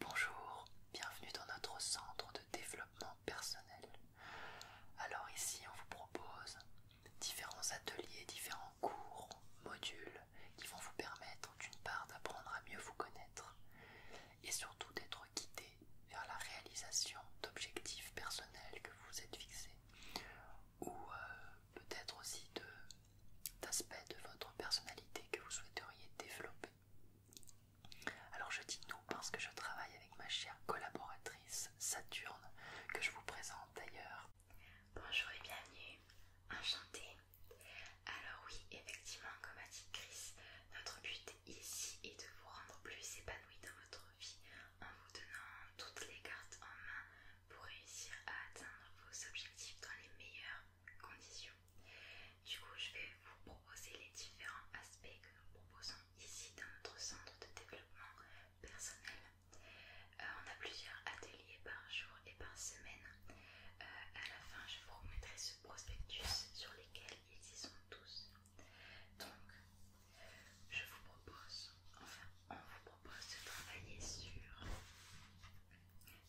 Bonjour, bienvenue dans notre centre de développement personnel. Alors ici on vous propose différents ateliers, différents cours, modules qui vont vous permettre d'une part d'apprendre à mieux vous connaître et surtout d'être guidé vers la réalisation d'objectifs personnels que vous êtes fixés ou euh, peut-être aussi d'aspects de votre personnalité que vous souhaiteriez développer. Alors je dis nous parce que je travaille avec ma chère collaboratrice Saturne, que je vous présente d'ailleurs. Bonjour et bienvenue, enchantée. Alors oui, effectivement, comme a dit Chris, notre but ici est de vous rendre plus épanoui dans votre vie en vous donnant toutes les cartes en main pour réussir à atteindre vos objectifs dans les meilleurs conditions. Du coup, je vais vous proposer les différents aspects que nous proposons ici dans notre centre de développement personnel. Euh, on a plusieurs ateliers par jour et par semaine. Euh, à la fin, je vous remettrai ce prospectus sur lesquels ils y sont tous. Donc, je vous propose, enfin, on vous propose de travailler sur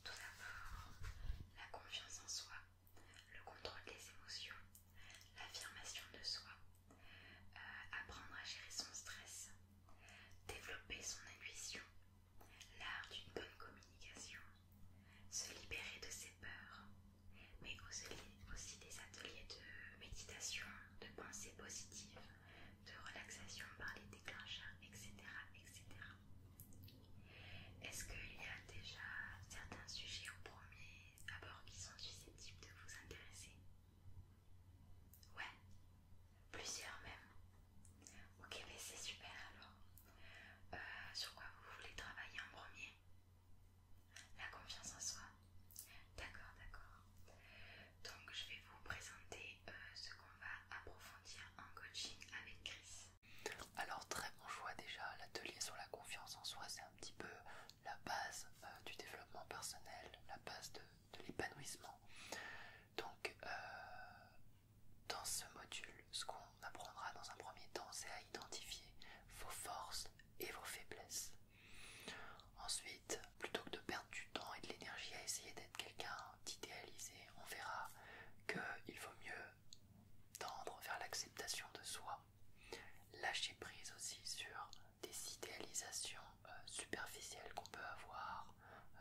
tout d'abord, la confiance en soi, le contrôle des émotions, l'affirmation de soi, euh, apprendre à gérer son stress, développer son intuition, l'art d'une bonne communication, se libérer de ses peurs, mais aussi, des ateliers de méditation, de pensée positive, de relaxation par les déclencheurs, etc. etc. Est-ce qu'il y a déjà certains sujets au premier abord qui sont susceptibles de vous intéresser Ouais, plusieurs même. Ok, mais ben c'est super alors. Euh, sur quoi vous voulez travailler en premier La confiance en soi. D'accord, d'accord. Donc je vais vous présenter euh, ce qu'on va approfondir en coaching avec Chris. Alors très bon choix déjà, l'atelier sur la confiance en soi c'est un petit peu la base euh, du développement personnel, la base de, l'épanouissement. Donc euh, dans ce module, ce qu'on apprendra dans un premier temps c'est à identifier vos forces et vos faiblesses. Ensuite, plutôt que de perdre du temps et de l'énergie à essayer d'être quelqu'un d'idéalisé, on verra qu'il vaut mieux tendre vers l'acceptation de soi, lâcher prise aussi sur des idéalisations euh, superficielles qu'on peut avoir, euh,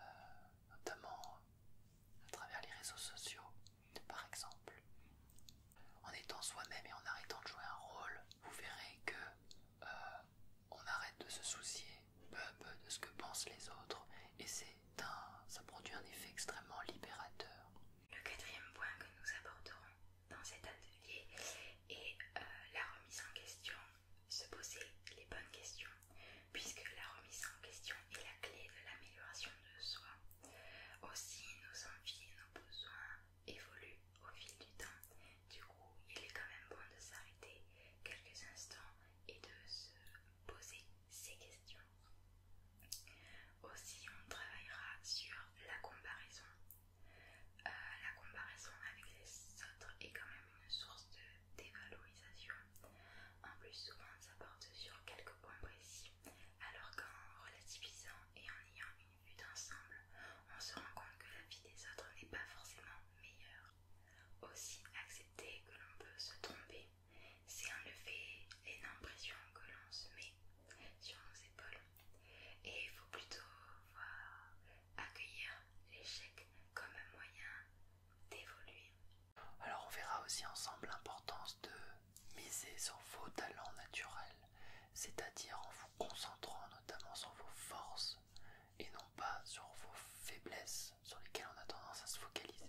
notamment euh, à travers les réseaux sociaux, par exemple. En étant soi-même et en arrêtant de jouer un rôle, vous verrez que on arrête de se soucier peu peu de ce que pensent les autres et c'est ça produit un effet extrêmement libérateur. Le quatrième point que nous aborderons dans cet atelier est euh, la remise en question, se poser les bonnes questions, puisque la remise en question est la clé de l'amélioration de soi. Aussi, nos envies et nos besoins évoluent au fil du temps. Du coup, il est quand même bon de s'arrêter quelques instants et de se poser ces questions. Aussi, on travaillera sur la comparaison. Euh, la comparaison avec les autres est quand même une source de dévalorisation. En plus, souvent, ça porte sur quelques points précis, alors qu'en relativisant et en ayant une vue d'ensemble, on se rend compte que la vie des autres n'est pas forcément meilleure. Aussi, accepter que l'on peut se tromper c'est enlever effet l'énorme pression que l'on se met sur nos épaules et il faut plutôt voir, accueillir l'échec comme un moyen d'évoluer. Alors on verra aussi ensemble l'importance de miser sur vos talents naturels, c'est-à-dire en vous concentrant notamment sur vos forces et non pas sur vos faiblesses sur lesquelles on a tendance à se focaliser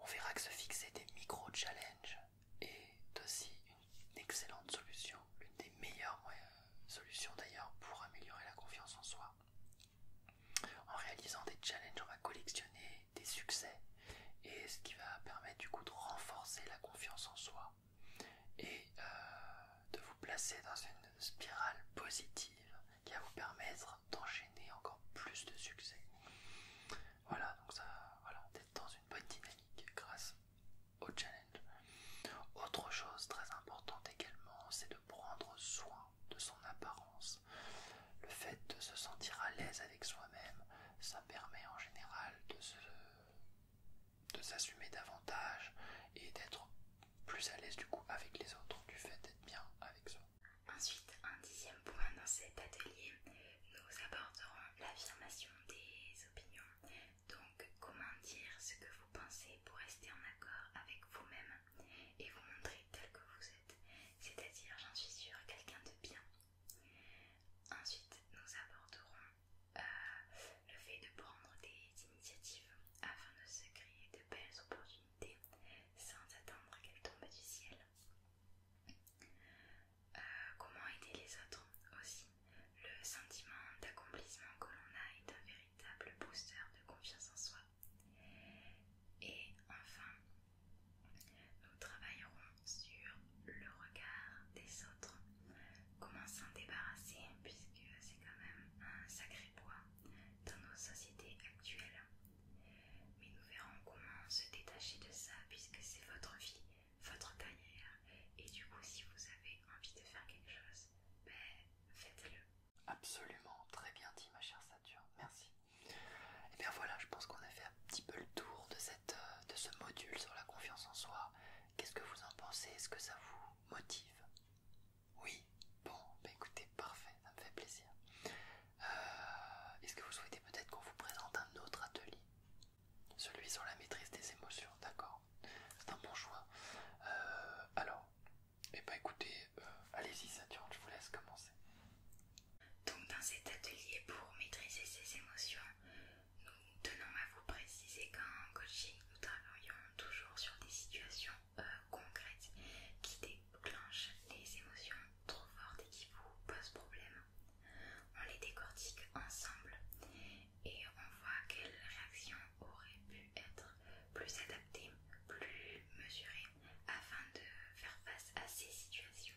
on verra que se fixer des micro-challenges est aussi une excellente solution, une des meilleures solutions d'ailleurs pour améliorer la confiance en soi. En réalisant des challenges, on va collectionner des succès et ce qui va permettre du coup de renforcer la confiance en soi et euh, de vous placer dans une spirale positive qui va vous permettre d'enchaîner encore plus de succès. Voilà, donc ça, voilà, d'être dans une bonne dynamique grâce au challenge. Autre chose très importante également, c'est de prendre soin de son apparence. Le fait de se sentir à l'aise avec soi-même, ça permet en général de se de s'assumer davantage et d'être plus à l'aise du coup avec les autres, du fait d'être bien avec soi. Ensuite, un dixième point dans cet atelier, nous aborderons l'affirmation des opinions. Donc, comment dire ce que vous pensez pour rester en accord avec vous-même et vous montrer tel que vous êtes, c'est-à-dire, j'en suis sûre, quelqu'un de bien. Ensuite, nous aborderons euh, le fait de prendre des initiatives afin de se créer de belles opportunités sans attendre qu'elles tombent du ciel. Euh, comment aider les autres aussi Le sentiment d'accomplissement que l'on a est un véritable booster de confiance en soi. Et enfin, nous travaillerons sur le regard des autres. Comment s'en débarrasser puisque c'est quand même un sacré poids dans nos sociétés actuelles. Mais nous verrons comment se détacher de ça puisque c'est votre vie, votre carrière. Et du coup, si vous avez envie de faire quelque chose, ben, faites-le. Absolument, très bien dit ma chère Saturne, merci. Et eh bien voilà, je pense qu'on a fait un petit peu le tour de, cette, euh, de ce module sur la confiance en soi. Qu'est-ce que vous en pensez Est-ce que ça vous motive Oui Bon, ben écoutez, parfait, ça me fait plaisir. Euh, est-ce que vous souhaitez peut-être qu'on vous présente un autre atelier Celui sur la maîtrise des émotions, d'accord C'est un bon choix. Euh, alors, et eh ben, écoutez, euh, allez-y Saturne, je vous laisse commencer. Donc dans cet atelier pour maîtriser ses émotions, nous tenons à vous préciser qu'en coaching, nous travaillons toujours sur des situations concrètes qui clenchent les émotions trop fortes et qui vous posent problème. On les décortique ensemble et on voit quelle réaction aurait pu être plus adaptée, plus mesurée afin de faire face à ces situations.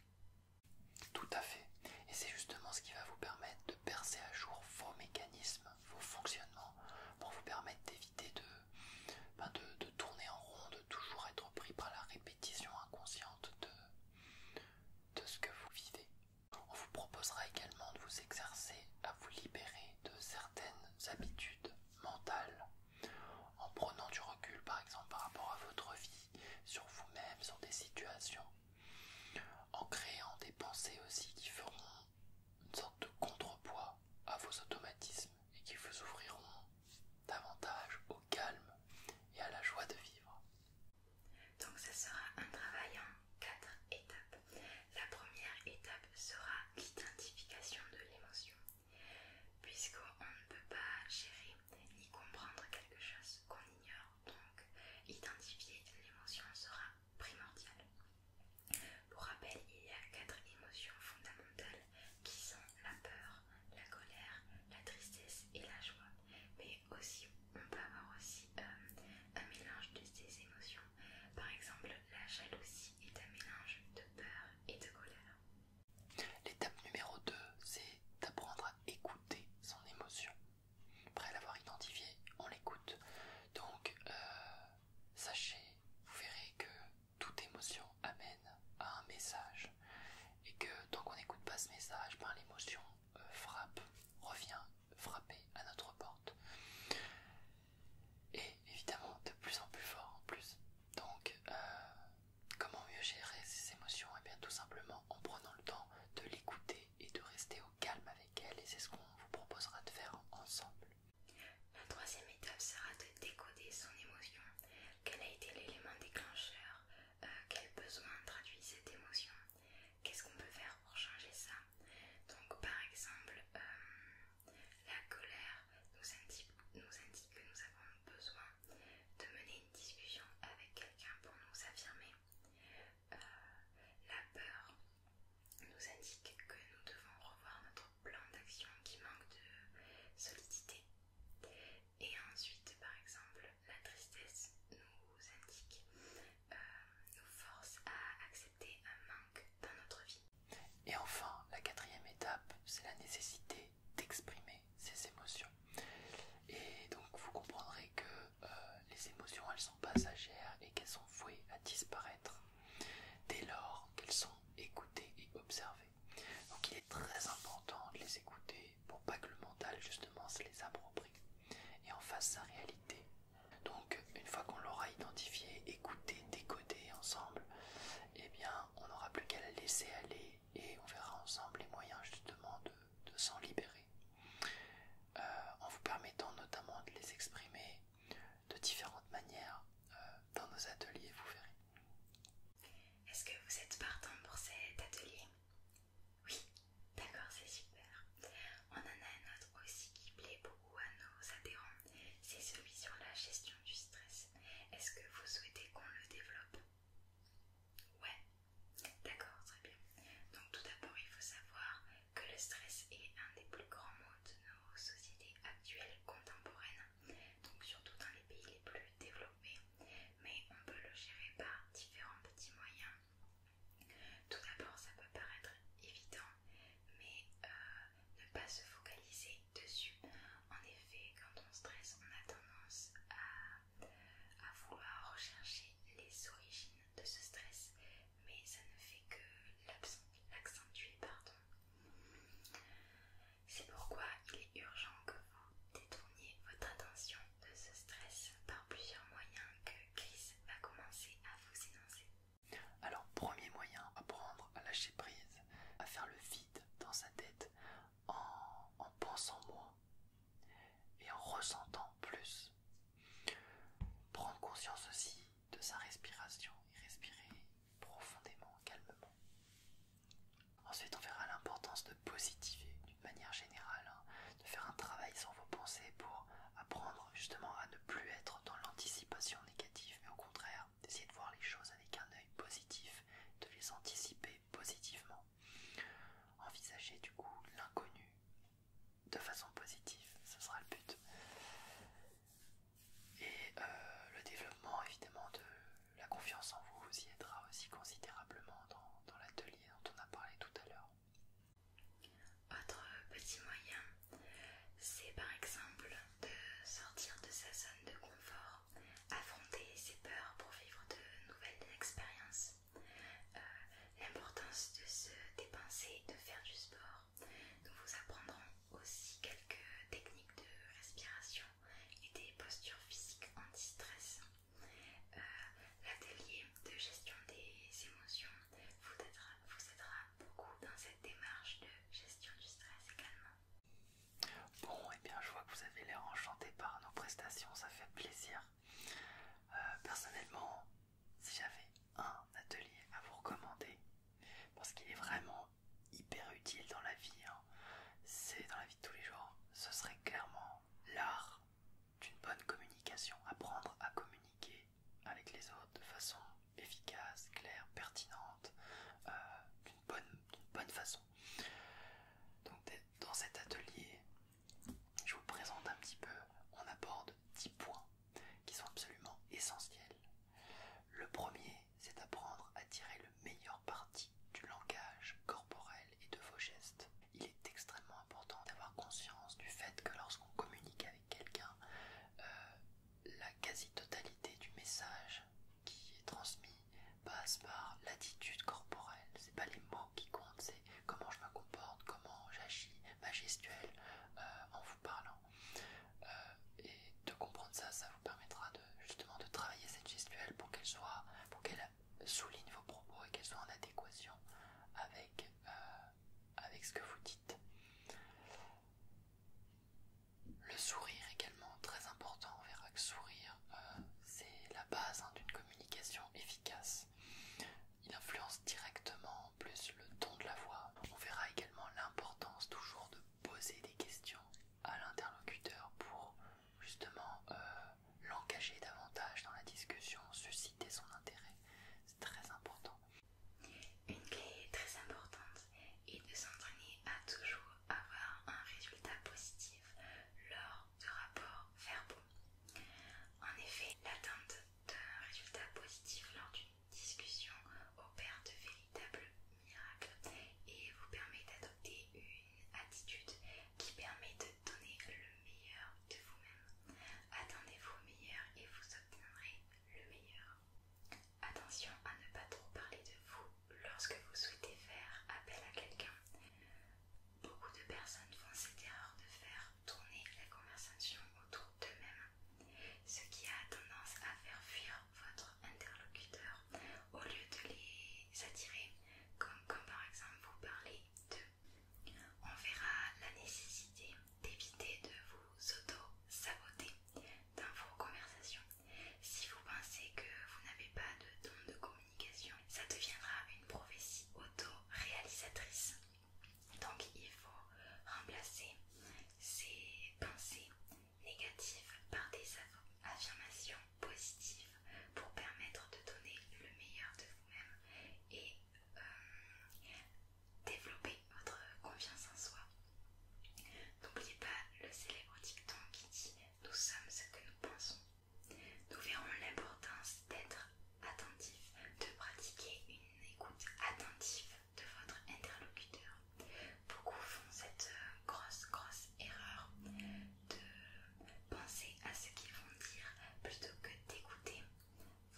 Tout à fait. Et c'est justement ce qui va vous permettre de percer à jour vos mécanismes, vos fonctionnements, pour vous permettre d'éviter de euh, ben, de, tourner en rond, de toujours être pris par la répétition inconsciente de, de ce que vous vivez. On vous proposera également de vous exercer à vous libérer de certaines habitudes mentales en prenant du recul par exemple par rapport à votre vie, sur vous-même, sur des situations, en créant des pensées aussi qui feront une sorte de contrepoids à vos automatismes et qui vous ouvriront davantage au calme et à la joie de vivre. Donc ce sera un travail en quatre étapes. La première étape sera l'identification de l'émotion, puisqu'on ne peut pas gérer ni comprendre quelque chose qu'on ignore. Donc identifier l'émotion sera primordial. Pour rappel, il y a quatre émotions fondamentales qui sont la peur, la colère, la tristesse et la joie. Mais aussi, on peut avoir aussi euh, un mélange de ces émotions. Par exemple, la jalousie est un mélange de peur et de colère. L'étape numéro 2, c'est d'apprendre à écouter son émotion. Après l'avoir identifiée, on l'écoute. Donc, euh, sachez, vous verrez que toute émotion amène à un message et que tant qu'on n'écoute pas ce message, ben, l'émotion euh, frappe, revient frapper à notre porte. Et évidemment de plus en plus fort en plus. Donc euh, comment mieux gérer ces émotions Et eh bien tout simplement en prenant le temps de l'écouter et de rester au calme avec elle. Et c'est ce qu'on vous proposera de faire ensemble. La troisième étape sera de décoder son émotion. Quel a été l'élément déclencheur euh, Quel besoin traduit cette émotion Qu'est-ce qu'on peut faire pour changer ça Donc par exemple, euh, la colère nous indique, que nous avons besoin de mener une discussion avec quelqu'un pour nous affirmer. Euh, la peur nous indique que nous devons revoir notre plan d'action qui manque de solidité. Et ensuite, par exemple, la tristesse nous indique, euh, nous force à accepter un manque dans notre vie. Et enfin, la quatrième étape, c'est la nécessité d'exprimer ces émotions. Et donc, vous comprendrez que euh, les émotions, elles sont passagères et qu'elles sont vouées à disparaître dès lors qu'elles sont écoutées et observées. Donc il est très important de les écouter pour pas que le mental justement se les approprie et en fasse sa réalité. Donc une fois qu'on l'aura identifié, écouté, décodé ensemble, eh bien on n'aura plus qu'à la laisser aller et on verra ensemble les moyens justement de, s'en libérer. Euh, en vous permettant notamment de les exprimer de différentes manières euh, dans nos ateliers, vous verrez. Est-ce que vous êtes partant pour cet atelier Oui, d'accord, c'est super. On en a un autre aussi qui plaît beaucoup à nos adhérents, c'est celui sur la gestion du stress. Est-ce que vous souhaitez qu'on le développe Ouais, d'accord, très bien. Donc tout d'abord, il faut savoir que le stress est un des plus grands maux de nos sociétés actuelles contemporaines, donc surtout dans les pays les plus développés mais on peut le gérer par différents petits moyens. Tout d'abord, ça peut paraître évident, mais euh, ne pas se focaliser dessus. En effet, quand on stresse, on a tendance à, à vouloir rechercher les origines de ce stress, mais ça ne fait que l'accentuer. Pardon. C'est pourquoi il est urgent que vous détourniez votre attention de ce stress par plusieurs moyens que Chris va commencer à vous énoncer. Alors, premier moyen, apprendre à lâcher prise, à faire le vide dans sa tête en, en pensant moins et en ressentant plus. Prendre conscience aussi de sa respiration et respirer profondément, calmement. Ensuite, on verra l'importance de positiver d'une manière générale, hein, de faire un travail sur vos pensées pour apprendre justement à ne plus être dans l'anticipation négative, mais au contraire, d'essayer de voir les choses avec un œil positif, de les anticiper positivement. Envisager du coup l'inconnu de façon positive, ce sera le but. Et euh, le développement évidemment de la confiance en vous vous y aidera aussi considérablement dans, l'atelier dont on a parlé tout à l'heure. Autre petit moyen, c'est par exemple de sortir de sa zone de confort, affronter ses peurs pour vivre de nouvelles expériences. Euh, l'importance de se dépenser, de faire du sport. Nous vous apprendrons aussi quelques techniques de respiration et des postures physiques anti-stress. Euh, l'atelier de gestion des émotions vous aidera, beaucoup dans cette démarche de gestion du stress également. Bon, et eh bien je vois que vous avez l'air enchanté par nos prestations, ça fait plaisir. Euh, personnellement, si j'avais un atelier à vous recommander, parce qu'il est vraiment hyper utile dans la vie, hein. c'est dans la vie de tous les jours, ce serait clairement l'art d'une bonne communication, apprendre à communiquer avec les autres de façon efficace, claire, pertinente, euh, d'une bonne, bonne façon. Donc dans cet atelier, je vous présente un petit peu, on aborde 10 points qui sont absolument essentiels. Le premier, c'est d'apprendre à tirer le meilleur parti du langage corporel et de vos gestes. Il est extrêmement important d'avoir conscience du fait que lorsqu'on communique avec quelqu'un, euh, la quasi-totalité du message qui est transmis passe par l'attitude corporelle. C'est pas les mots qui comptent, c'est comment je me comporte, comment j'agis, ma gestuelle euh, en vous parlant. Euh, et de comprendre ça, ça permettra de justement de travailler cette gestuelle pour qu'elle soit pour qu'elle souligne vos propos et qu'elle soit en adéquation avec, euh, avec ce que vous dites. Le sourire également, très important, on verra que sourire, euh, c'est la base hein, d'une communication efficace. Il influence directement plus le ton de la voix. On verra également l'importance toujours de poser des questions à l'interlocuteur pour justement euh, l'engager davantage dans la discussion, susciter son intérêt. C'est très important. Une clé très importante est de s'entraîner à toujours avoir un résultat positif lors de rapports verbaux. En effet, l'atteinte d'un résultat positif lors d'une discussion opère de véritables miracles et vous permet d'être une attitude qui permet de donner le meilleur de vous-même. Attendez vos meilleur et vous obtiendrez le meilleur. Attention à ne pas trop parler de vous lorsque vous souhaitez faire appel à quelqu'un. Beaucoup de personnes font cette erreur de faire tourner la conversation autour d'eux-mêmes, ce qui a tendance à faire fuir votre interlocuteur au lieu de les S'attirer, attirer, comme comme par exemple vous parlez de. On verra la nécessité d'éviter de vous auto-saboter dans vos conversations. Si vous pensez que vous n'avez pas de don de communication, ça deviendra une prophétie auto-réalisatrice. Donc il faut remplacer ces pensées négatives par des affirmations Positif pour permettre de donner le meilleur de vous-même et euh, développer votre confiance en soi. N'oubliez pas le célèbre dicton qui dit Nous sommes ce que nous pensons. Nous verrons l'importance d'être attentif, de pratiquer une écoute attentive de votre interlocuteur. Beaucoup font cette euh, grosse, grosse erreur de penser à ce qu'ils vont dire plutôt que d'écouter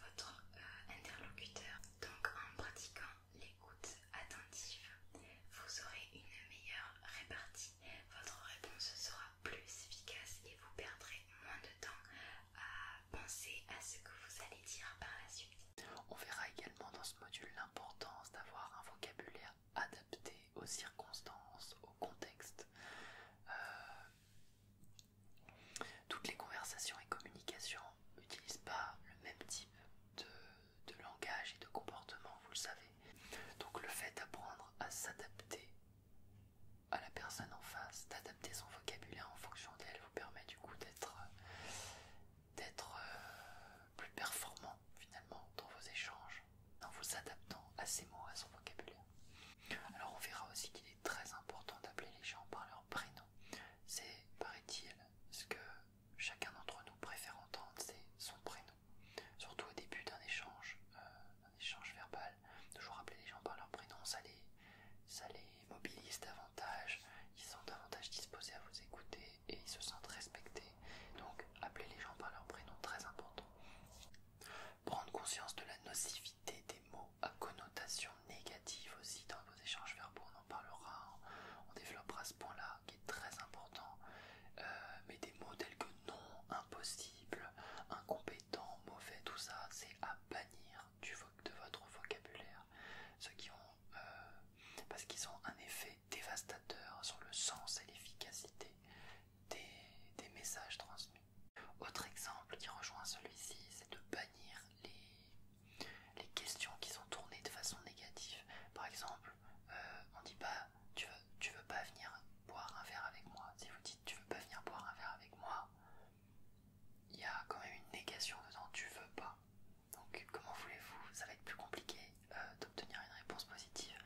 votre euh, interlocuteur. Donc en pratiquant l'écoute attentive, vous aurez une meilleure répartie. Votre réponse sera plus efficace et vous perdrez moins de temps à penser à ce que vous allez dire par la suite. On verra également dans ce module l'importance d'avoir un vocabulaire adapté aux circonstances, au contexte. Euh, toutes les conversations et communications n'utilisent pas le même type de, langage et de comportement, vous le savez. Donc le fait d'apprendre à s'adapter à la personne en face, d'adapter son vocabulaire en fonction d'elle, vous permet du coup d'être euh, plus performant finalement dans vos échanges, en vous adaptant à ses mots, à son vocabulaire. Alors on verra aussi qu'il est très important d'appeler les gens par leur prénom. C'est, paraît-il, ce que chacun d'entre nous préfère entendre, c'est son prénom. Surtout au début d'un échange, euh, échange verbal, toujours appeler les gens par leur prénom, ça les, mobilise davantage, ils sont davantage disposés à vous écouter et ils se sentent respectés. Donc appeler les gens par leur prénom, très important. Prendre conscience de la nocivité des mots à connotation négative aussi dans vos échanges verbaux, on en parlera, on développera ce point-là qui est très important. Euh, mais des mots tels que non, impossible, incompétent, mauvais, tout ça, c'est à bannir de votre vocabulaire. Ceux qui ont, euh, parce qu'ils ont un effet dévastateur sur le sens et l'efficacité des, messages transmis. Autre exemple qui rejoint celui-ci, c'est de bannir les, questions qui sont tournées de façon négative. Par exemple, euh, on dit pas tu veux, veux pas venir boire un verre avec moi. Si vous dites tu veux pas venir boire un verre avec moi, il y a quand même une négation dedans, tu veux pas. Donc comment voulez-vous Ça va être plus compliqué euh, d'obtenir une réponse positive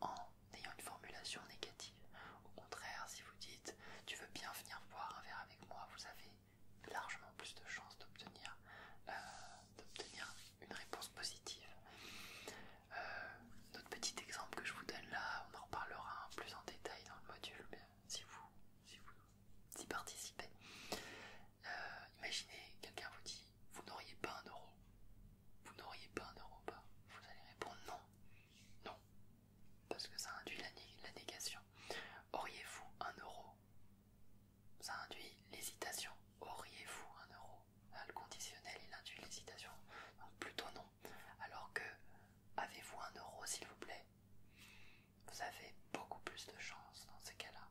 en n'ayant une formulation négative. Au contraire, si vous dites tu veux bien venir boire un verre avec moi, vous avez largement plus de chances d'obtenir euh, une réponse positive. Euh, notre petit exemple que je vous donne là, on en reparlera plus en détail dans le module, si vous vous y participez. Euh, imaginez quelqu'un vous dit vous n'auriez pas un euro, vous n'auriez pas un euro pas Vous allez répondre non, non, parce que ça induit la, négation. Auriez-vous un euro Ça induit l'hésitation. Auriez-vous un euro ah, Le conditionnel, il induit l'hésitation. Donc plutôt non. Alors que avez-vous un euro s'il vous plaît Vous avez beaucoup plus de chance dans ces cas-là,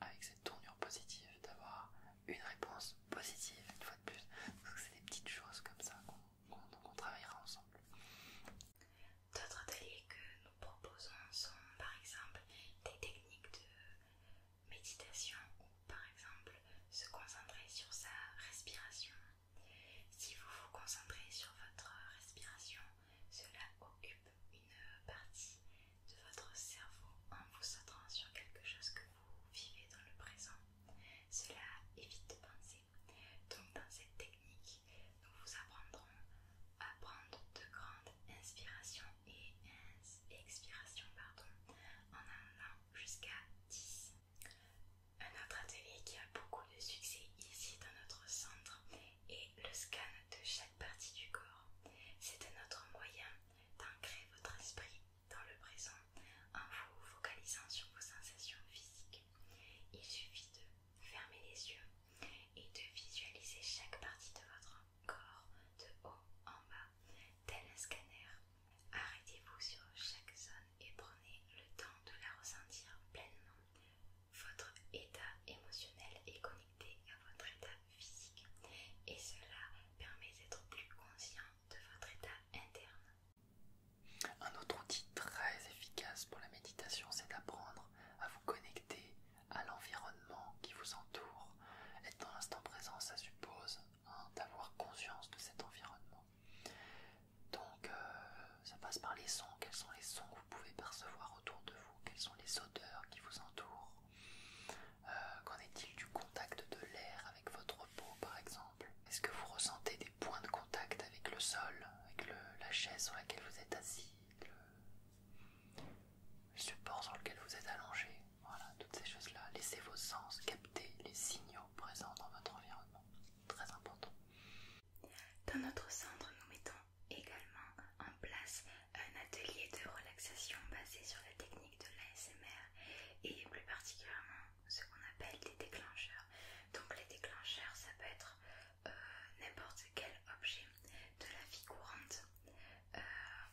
avec cette tournure positive, d'avoir une réponse positive une fois de plus. parce que c'est des petites choses comme ça qu'on travaillera ensemble. D'autres ateliers que nous proposons sont par exemple des techniques de méditation ou par exemple se concentrer sur sa respiration. Si vous vous concentrez sur votre respiration, cela occupe une partie de votre cerveau en vous centrant sur quelque chose que vous vivez dans le présent. Cela évite de penser. Donc dans cette technique, nous vous apprendrons à prendre de grandes inspirations et expirations pardon, en allant jusqu'à 10. Un autre atelier qui a beaucoup de succès ici dans notre centre est le scan de chaque partie du corps. C'est un autre moyen d'ancrer votre esprit dans le présent en vous focalisant sur vos sensations physiques. Il suffit de fermer les yeux et de visualiser chaque partie de votre corps de haut en bas, tel un scanner. Arrêtez-vous sur chaque zone et prenez le temps de la ressentir pleinement. Votre état émotionnel est connecté à votre état physique et cela permet d'être plus conscient interne. Un autre outil très efficace pour la méditation, c'est d'apprendre à vous connecter à l'environnement qui vous entoure. Être dans l'instant présent, ça suppose hein, d'avoir conscience de cet environnement. Donc, euh, ça passe par les sons. Quels sont les sons que vous pouvez percevoir autour de vous Quelles sont les odeurs qui vous entourent euh, qu'en est-il du contact de l'air avec votre peau par exemple Est-ce que vous ressentez des points de contact avec le sol, avec la chaise sur laquelle vous êtes assis, le, le support sur lequel vous êtes allongé Voilà, toutes ces choses-là. Laissez vos sens capter les signaux présents dans votre environnement. Très important. Dans notre centre, nous mettons également en place un atelier de relaxation basé sur la technique de l'ASMR et plus particulièrement ce qu'on appelle des déclencheurs. Donc les déclencheurs, ça peut être euh, n'importe quel objet de la vie courante. Euh,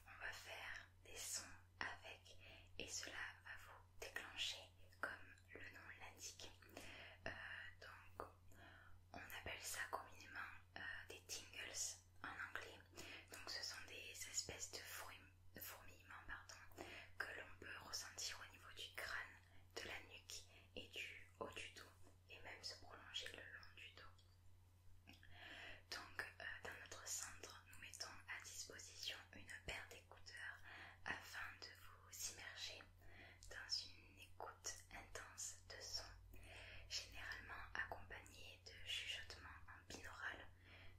on va faire des sons avec et cela va vous déclencher comme le nom l'indique. Euh, donc on appelle ça communément des tingles en anglais. Donc ce sont des espèces de fruits fourmillement pardon, que l'on peut ressentir au niveau du crâne, de la nuque et du haut du dos, et même se prolonger le long du dos. Donc, euh, dans notre centre, nous mettons à disposition une paire d'écouteurs afin de vous immerger dans une écoute intense de sons, généralement accompagnée de chuchotements binaural,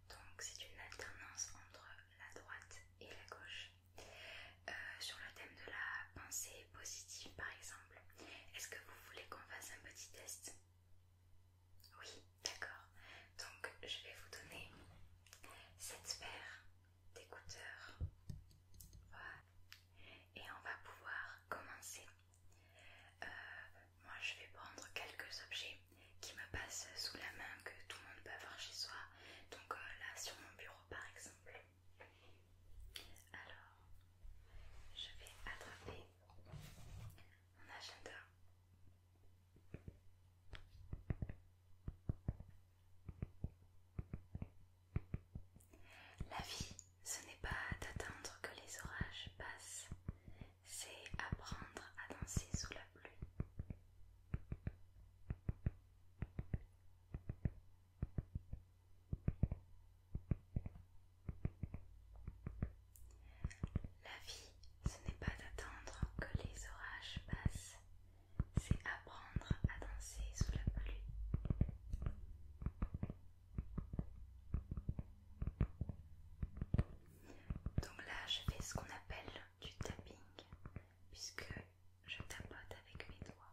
donc c'est une alternance entre la droite et la gauche. Euh, sur le thème de la pensée positive par exemple, est-ce que vous voulez qu'on fasse un petit test Oui, d'accord. Donc je vais vous donner cette paire d'écouteurs. Voilà. Et on va pouvoir commencer. Euh, moi je vais prendre quelques objets qui me passent sous la main que tout le monde peut avoir chez soi. Donc euh, là sur mon bureau par exemple. Alors je vais attraper mon agenda. La vie, ce n'est pas d'attendre que les orages passent, c'est apprendre à danser sous la pluie. La vie, ce n'est pas d'attendre que les orages passent, c'est apprendre à danser sous la pluie. Donc là, je fais ce qu'on appelle du tapping puisque je tapote avec mes doigts.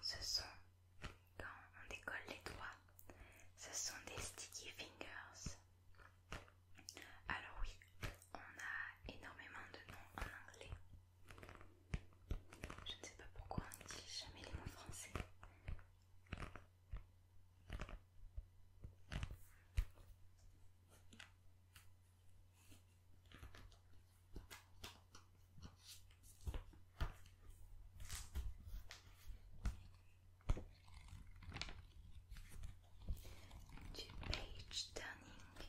Ce sont, quand on décolle les doigts, ce sont des sticky fingers. Alors oui, on a énormément de noms en anglais. Je ne sais pas pourquoi on ne dit jamais les mots français. turning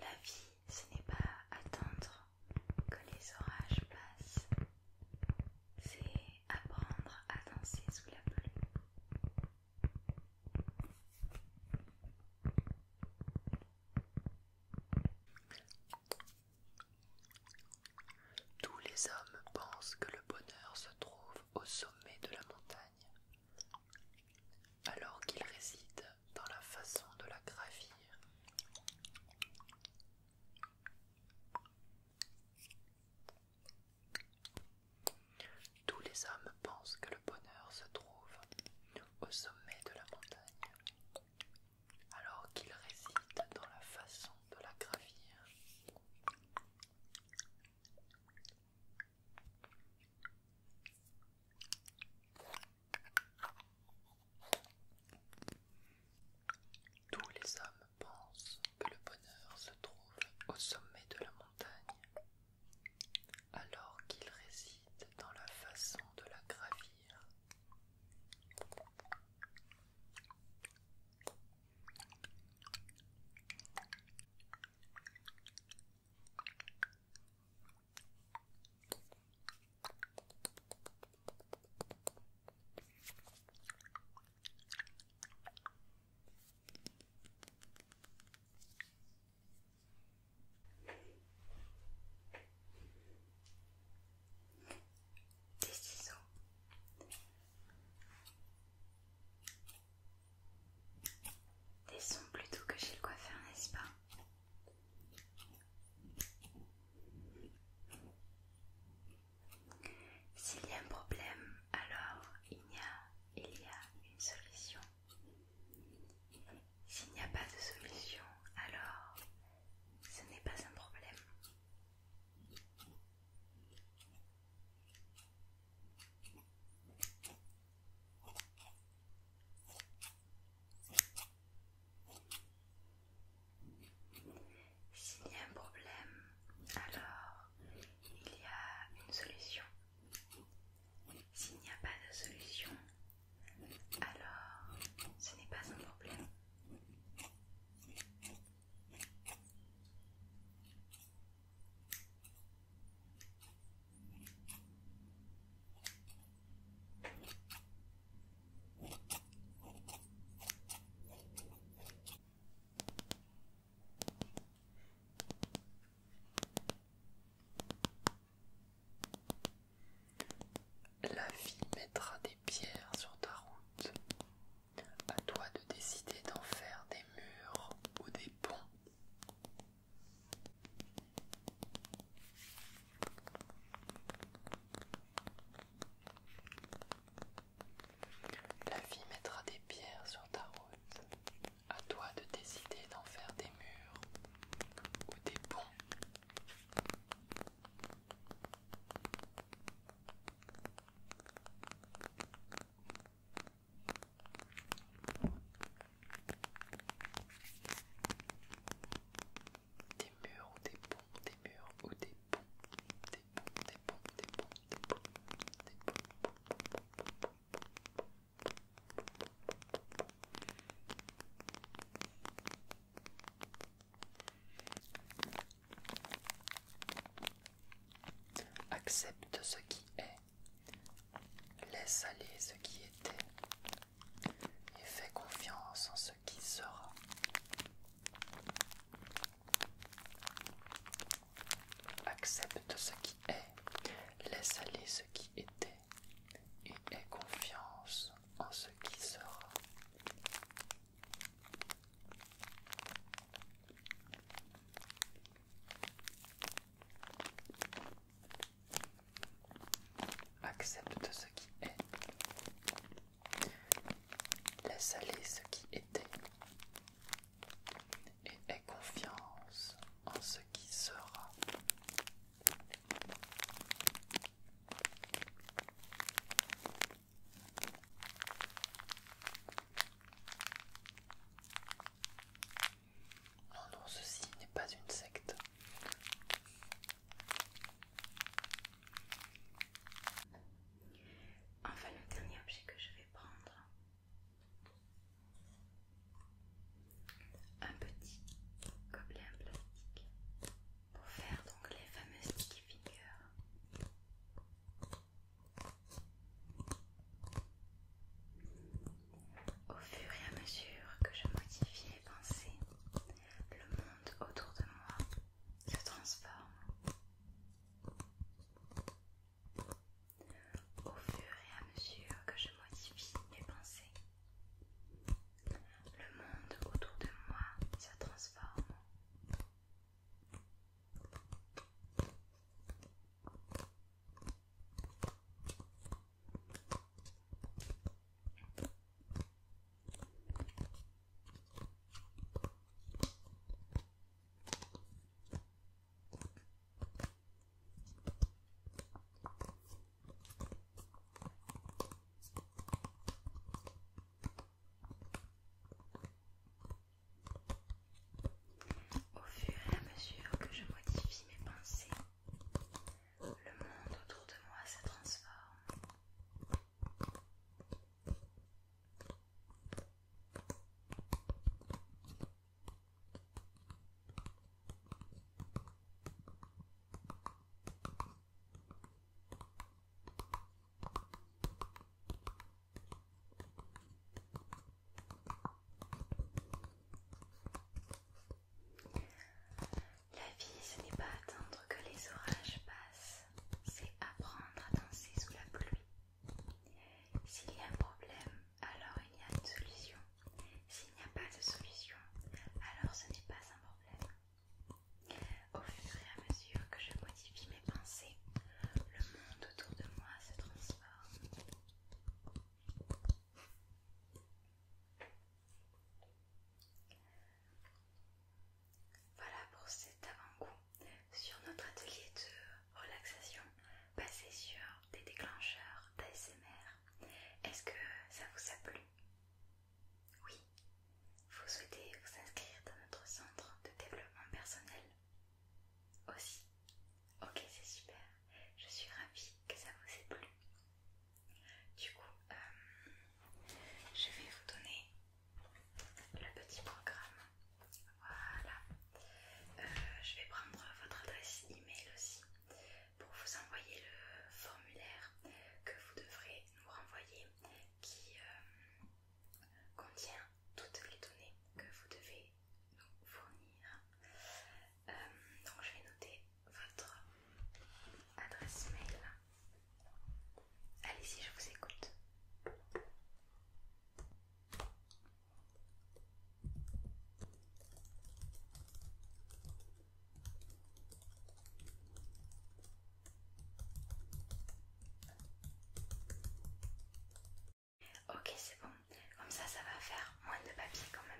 La vie, ce n'est pas attendre que les orages passent, c'est apprendre à danser sous la pluie. Tous les hommes pensent que le bonheur se trouve au sommet de la montagne alors qu'il réside dans la façon de la gravir. Tous les hommes pensent que le bonheur se trouve au sommet de la montagne, alors qu'il réside dans la façon de la gravir. Tous les hommes pensent que le bonheur se trouve au sommet de la montagne, alors qu'il réside dans la façon de la gravir. Des ciseaux. Des sons plutôt que chez le coiffeur, n'est-ce pas s'il y a un problème, alors il y a, il y a une solution. S'il n'y a pas de solution, alors ce n'est pas un problème. S'il y a un problème, alors il y a une solution. S'il n'y a pas de solution, alors ce n'est pas un problème. La vie mettra des pierres sur ta route. À toi de décider d'en faire des murs ou des ponts. La vie mettra des pierres sur ta route. À toi de décider d'en faire des murs ou des ponts. Des murs ou des ponts, des murs ou des ponts, des ponts, des ponts, des ponts, des des Accepte ce qui est, laisse aller ce qui était, et fais confiance en ce qui sera. Accepte ce qui est, laisse aller ce qui était et aie confiance en ce qui sera. Accepte ce qui est. Laisse aller ce qui était. Et aie confiance en ce qui sera. Non, oh non, ceci n'est pas une secte. Enfin, le dernier objet que je vais prendre. Un petit gobelet en plastique pour faire donc les fameuses sticky figures. Au fur et à mesure que je modifie les pensées, le monde autour de moi se transforme. Au fur et à mesure que je modifie mes pensées, le monde autour de moi se transforme. Au fur et à mesure que je modifie mes pensées, le monde autour de moi se transforme. La vie, ce n'est pas attendre que les orages passent, c'est apprendre à danser sous la pluie. S'il y a un problème, alors il y a une solution. S'il n'y a pas de solution, alors ce n'est pas un problème. Au fur et à mesure que je modifie mes pensées, le monde autour de moi se transforme. Voilà pour cet avant-goût sur notre atelier de relaxation basé sur des déclencheurs d'ASMR. Est-ce que ça vous a plu Oui. Vous souhaitez vous inscrire dans notre centre de développement personnel aussi Ok, c'est super. Je suis ravie que ça vous ait plu. Du coup, euh, je vais vous donner le petit programme. Voilà. Euh, je vais prendre votre adresse email aussi pour vous envoyer le formulaire que vous devrez nous renvoyer qui euh, contient toutes les données que vous devez nous fournir. donc je vais noter votre adresse mail. Allez-y, je vous écoute. Ok, c'est bon. Comme ça, ça va faire moins de papier quand même.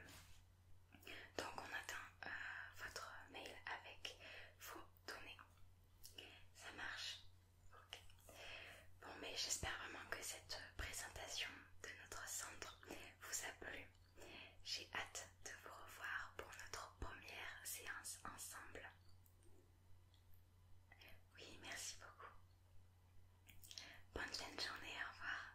Donc on attend euh, votre mail avec vos données. Ça marche Ok. Bon mais j'espère vraiment que cette présentation de notre centre vous a plu. J'ai hâte de vous revoir pour notre première séance ensemble. Oui, merci beaucoup. Bonne fin de journée, au revoir.